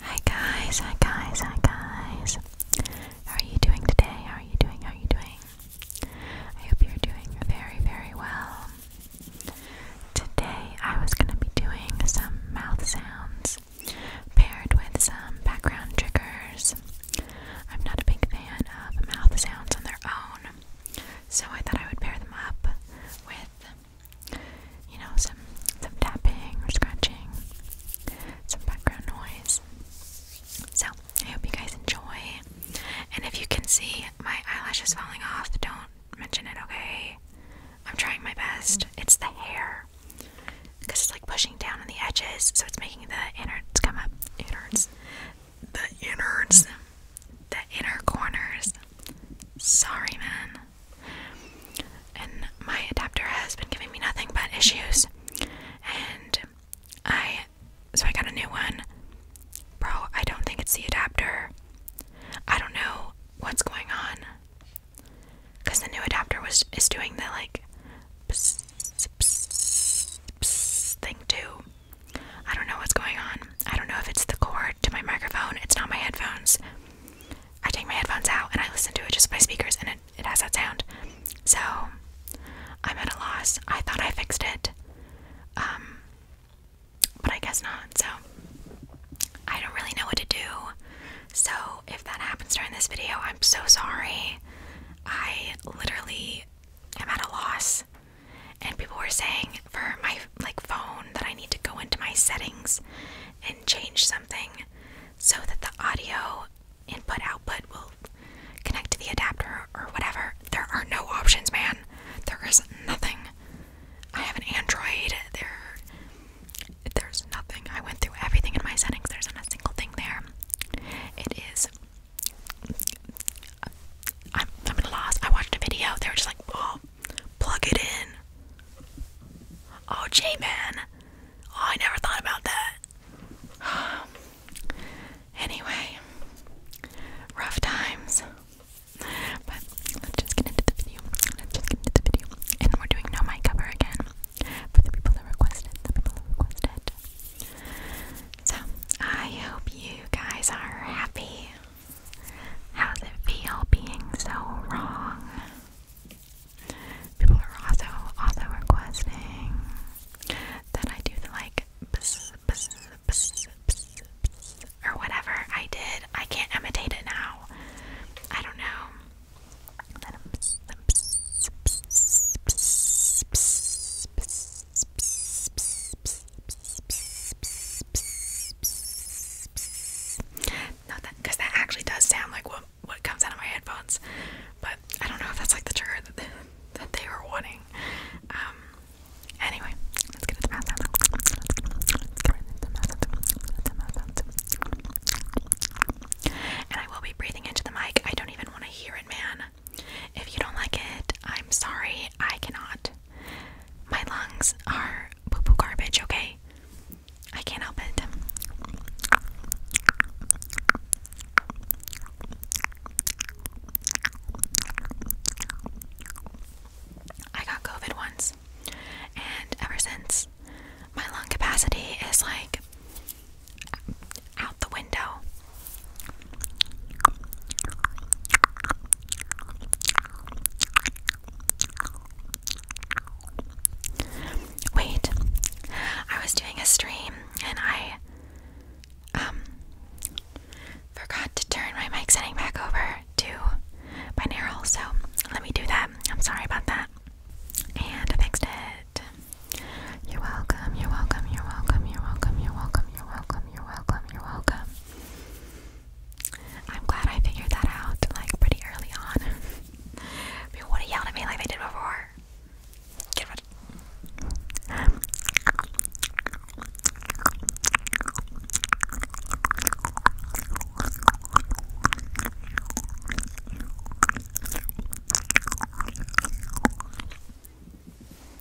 Hi guys, hi guys, hi guys. How are you doing today? How are you doing? How are you doing? I hope you're doing very, very well. Today I was going to be doing some mouth sounds paired with some background triggers. I'm not a big fan of mouth sounds on their own, so I thought I would pair them up with you know, some some tapping or scratching, some background noise. So I hope you guys enjoy. And if you can see my eyelashes falling off, don't mention it, okay? I'm trying my best. It's the hair. Because it's like pushing down on the edges, so it's making the innards come up. Innards. The innards. The inner corners. Sorry, man. And my adapter has been giving me nothing but issues. And I, so I got a new one. Bro, I don't think it's the adapter. I don't know what's going on. Because the new adapter was is doing the like pss, pss, pss thing too. I don't know what's going on. I don't know if it's the cord to my microphone. It's not my headphones. I take my headphones out and I listen to it just by speakers, and it, it has that sound. So I'm at a loss. I thought I fixed it, um, but I guess not. So I don't really know what to do. So if that happens during this video, I'm so sorry. I literally am at a loss. And people were saying for my like phone that I need to go into my settings and change something so that the audio input output will connect to the adapter or whatever. There are no options, man. There is nothing. I have an Android. There there's nothing. I went through everything in my settings. There's not a single thing there. It is I'm, I'm at a loss. I watched a video. They were just like, oh, plug it in. Oh, gee, man. Oh, I never thought about that. anyway, rough times. But let's just get into the video. Let's just get into the video. And we're doing no mic cover again for the people that requested. So I hope you guys are happy. How does it feel being so wrong? People are also also requesting that I do the like or whatever I did. I can't imitate it now. I don't know. No, that that actually does sound like what what comes out of my headphones, but I don't know if that's like the trigger that they, that they were wanting. Um. Anyway, let's get into the mouth And I will be breathing into the mic. I don't even want to hear it, man. If you don't like it, I'm sorry. I cannot. My lungs are poo poo garbage, okay? I can't help it. I got COVID once, and ever since, my lung capacity is like out the window. Wait, I was doing a stream and I um forgot to turn my mic setting back over to binaural, so let me do that. I'm sorry about that. And I fixed it. You're welcome, you're welcome, you're welcome, you're welcome, you're welcome, you're welcome, you're welcome, you're welcome. I'm glad I figured that out like pretty early on. People would have yelled at me like they did before.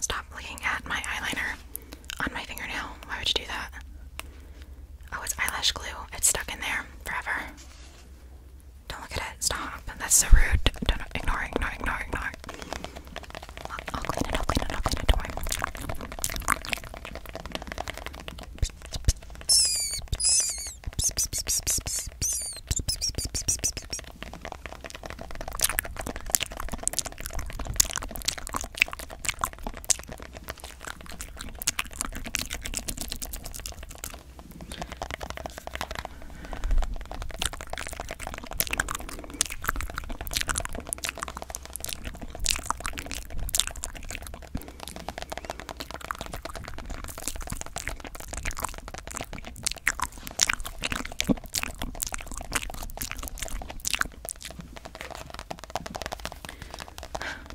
Stop looking at my eyeliner on my fingernail. Why would you do that? Oh, it's eyelash glue. It's stuck in there forever. Don't look at it. Stop. That's so rude. Don't, don't more. I'll, I'll clean it, I'll clean it, I'll clean it, don't worry.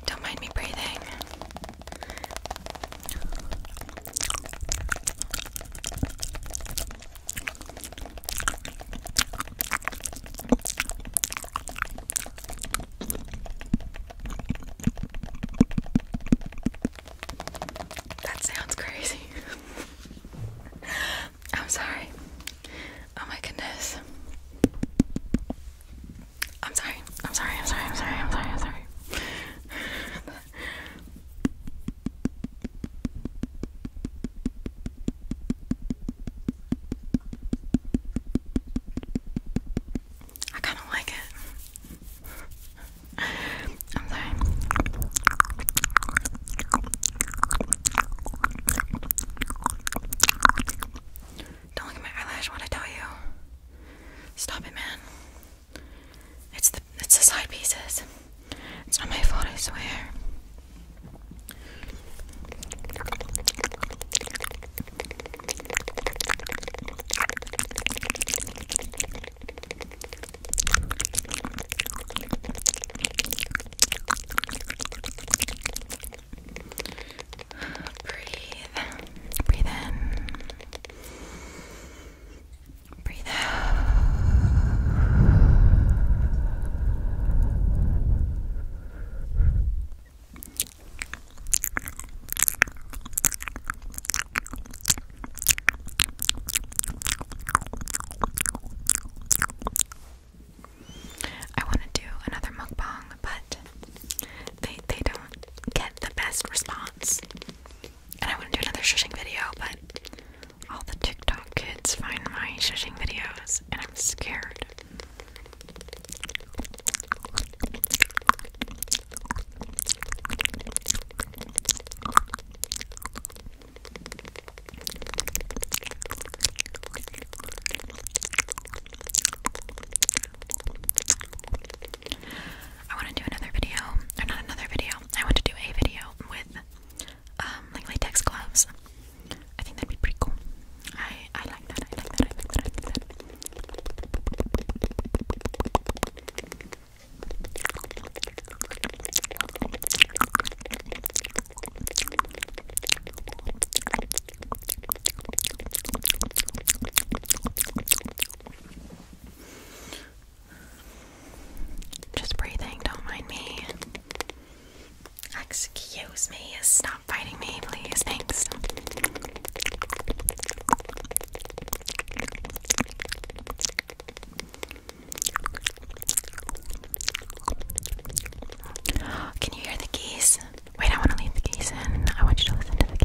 Don't mind me breathing. That sounds crazy. I'm sorry. Oh my goodness. I'm sorry. I'm sorry. I'm sorry. I'm sorry. I'm sorry. I kind of like it. I'm sorry. Don't look at my eyelash when I tell you. Stop it, man. It's the it's the side pieces. It's not my fault, I swear. Breathe. Breathe in. Breathe out. I want to do another mukbang, but they they don't get the best response and I want to do another shushing video, but all the TikTok kids find my shushing videos, and I'm scared. I want to do another video, or not another video. I want to do a video with um, latex gloves. I think that'd be pretty cool. I I like that. I like that. I like that. Just breathing, don't mind me. Excuse me, stop fighting me, please. Thanks. Can you hear the geese? Wait, I want to leave the geese in. I want you to listen to the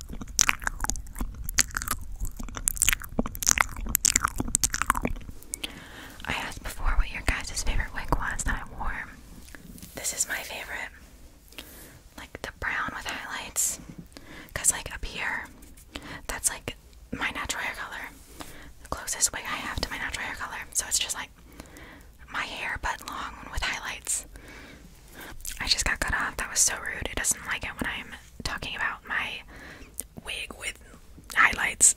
I asked before what your guys' favorite wig was that I wore. This is my favorite. Like the brown with highlights. Because, like, up here, that's like my natural hair color. The closest wig I have to my natural hair color. So it's just like my hair, but long with highlights. I just got cut off. That was so rude. It doesn't like it when I'm talking about my wig with highlights.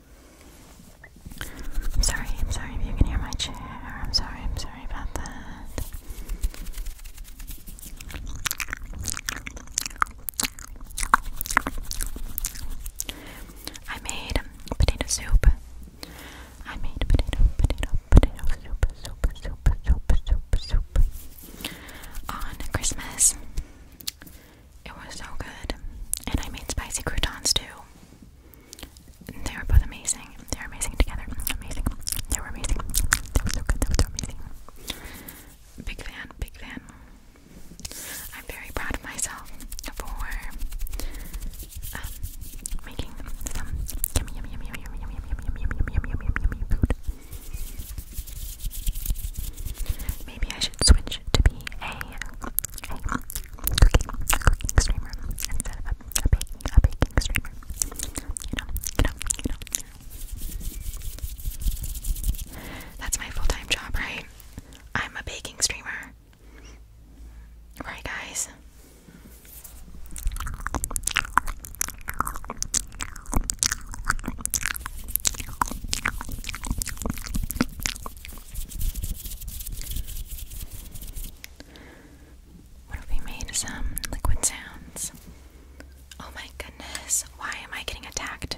I'm sorry, I'm sorry if you can hear my chair. I'm sorry, I'm sorry about that. I made potato soup. I made potato, potato, potato soup, soup, soup, soup, soup, soup on Christmas. It was so good. And I made spicy croutons too. They were both amazing. They were amazing together. Amazing. They were amazing. They were so good. They were so amazing. Big fan. Big fan. I'm very proud of myself for making some yummy, yummy, yummy, yummy, yummy, yummy, yummy, yummy, yummy, yummy, yummy, yummy food. Maybe I switch, to be a, a cooking, cooking streamer instead of a, a baking, baking streamer. You know, you know, you know. That's my full-time job, right? I'm a baking streamer. Right, guys? What if we made some liquid sounds? Oh my goodness, why am I getting attacked?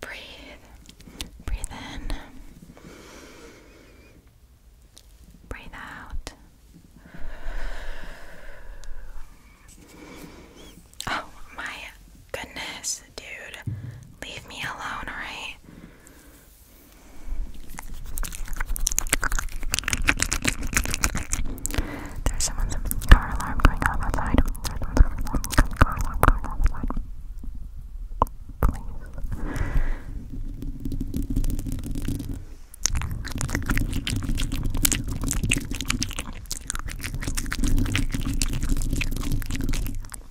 Breathe. Breathe in. Breathe out. Oh my goodness, dude. Leave me alone, alright? There's someone's car alarm going off outside. There's someone's car alarm going off outside. Please.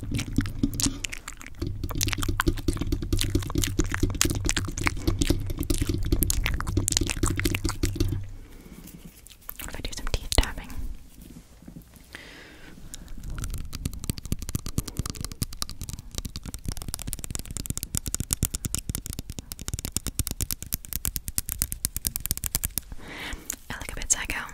If I do some teeth tapping. I look a bit psycho.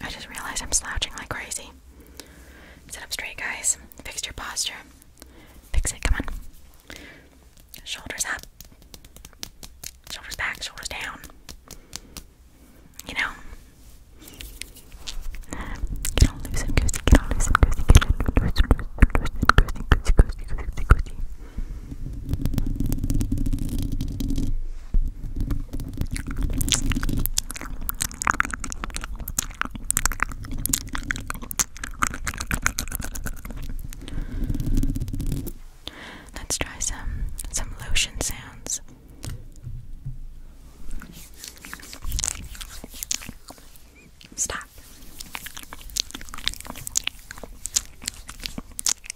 I just realized I'm slouching like crazy. Sit up straight, guys. Fix your posture. Fix it, come on. Shoulders up. Shoulders back, shoulders down. You know? Let's try some some lotion sounds. Stop.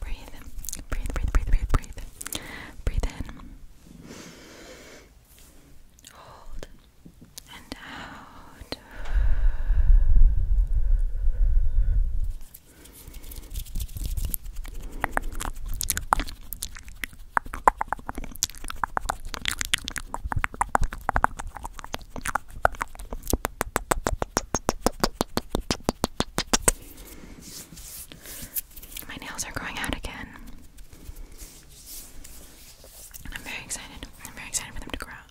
Breathe, breathe, breathe, breathe, breathe, breathe. Breathe in. Hold and out. My nails are growing out again. I'm very excited. I'm very excited for them to grow out.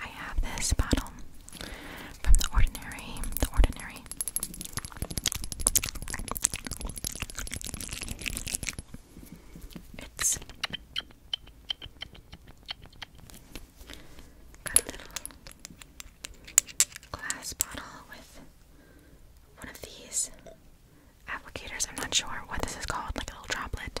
I have this bottle from the ordinary, the ordinary it's got a little glass bottle with one of these applicators. I'm not sure what this is called, like a little droplet.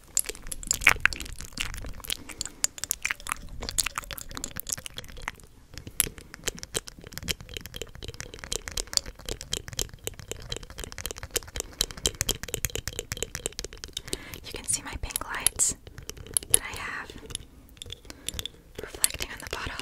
You can see my pink lights that I have reflecting on the bottle.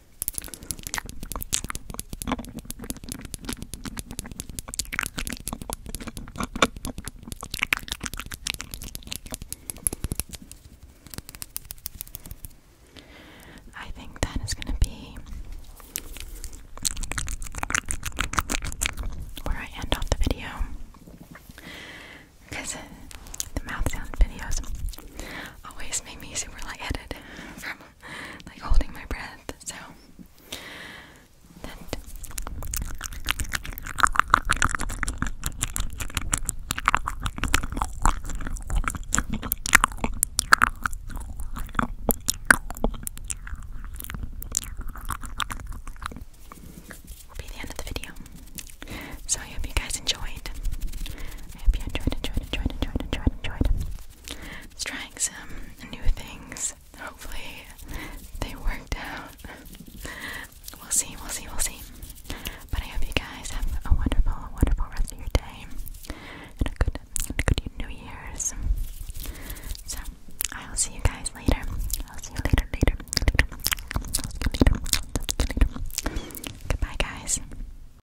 I think that is going to be where I end off the video because the mouth sound videos always make me super lightheaded from like holding my breath. So that be the end of the video. So I hope you guys enjoyed. I hope you enjoyed, enjoyed, enjoyed, enjoyed, enjoyed, enjoyed trying some new things. Hopefully they worked out. We'll see, we'll see, we'll see. But I hope you guys have a wonderful, wonderful rest of your day and a good, good New Year's. So I'll see you guys later. I'll see you later, later, later. later. later. Goodbye, guys.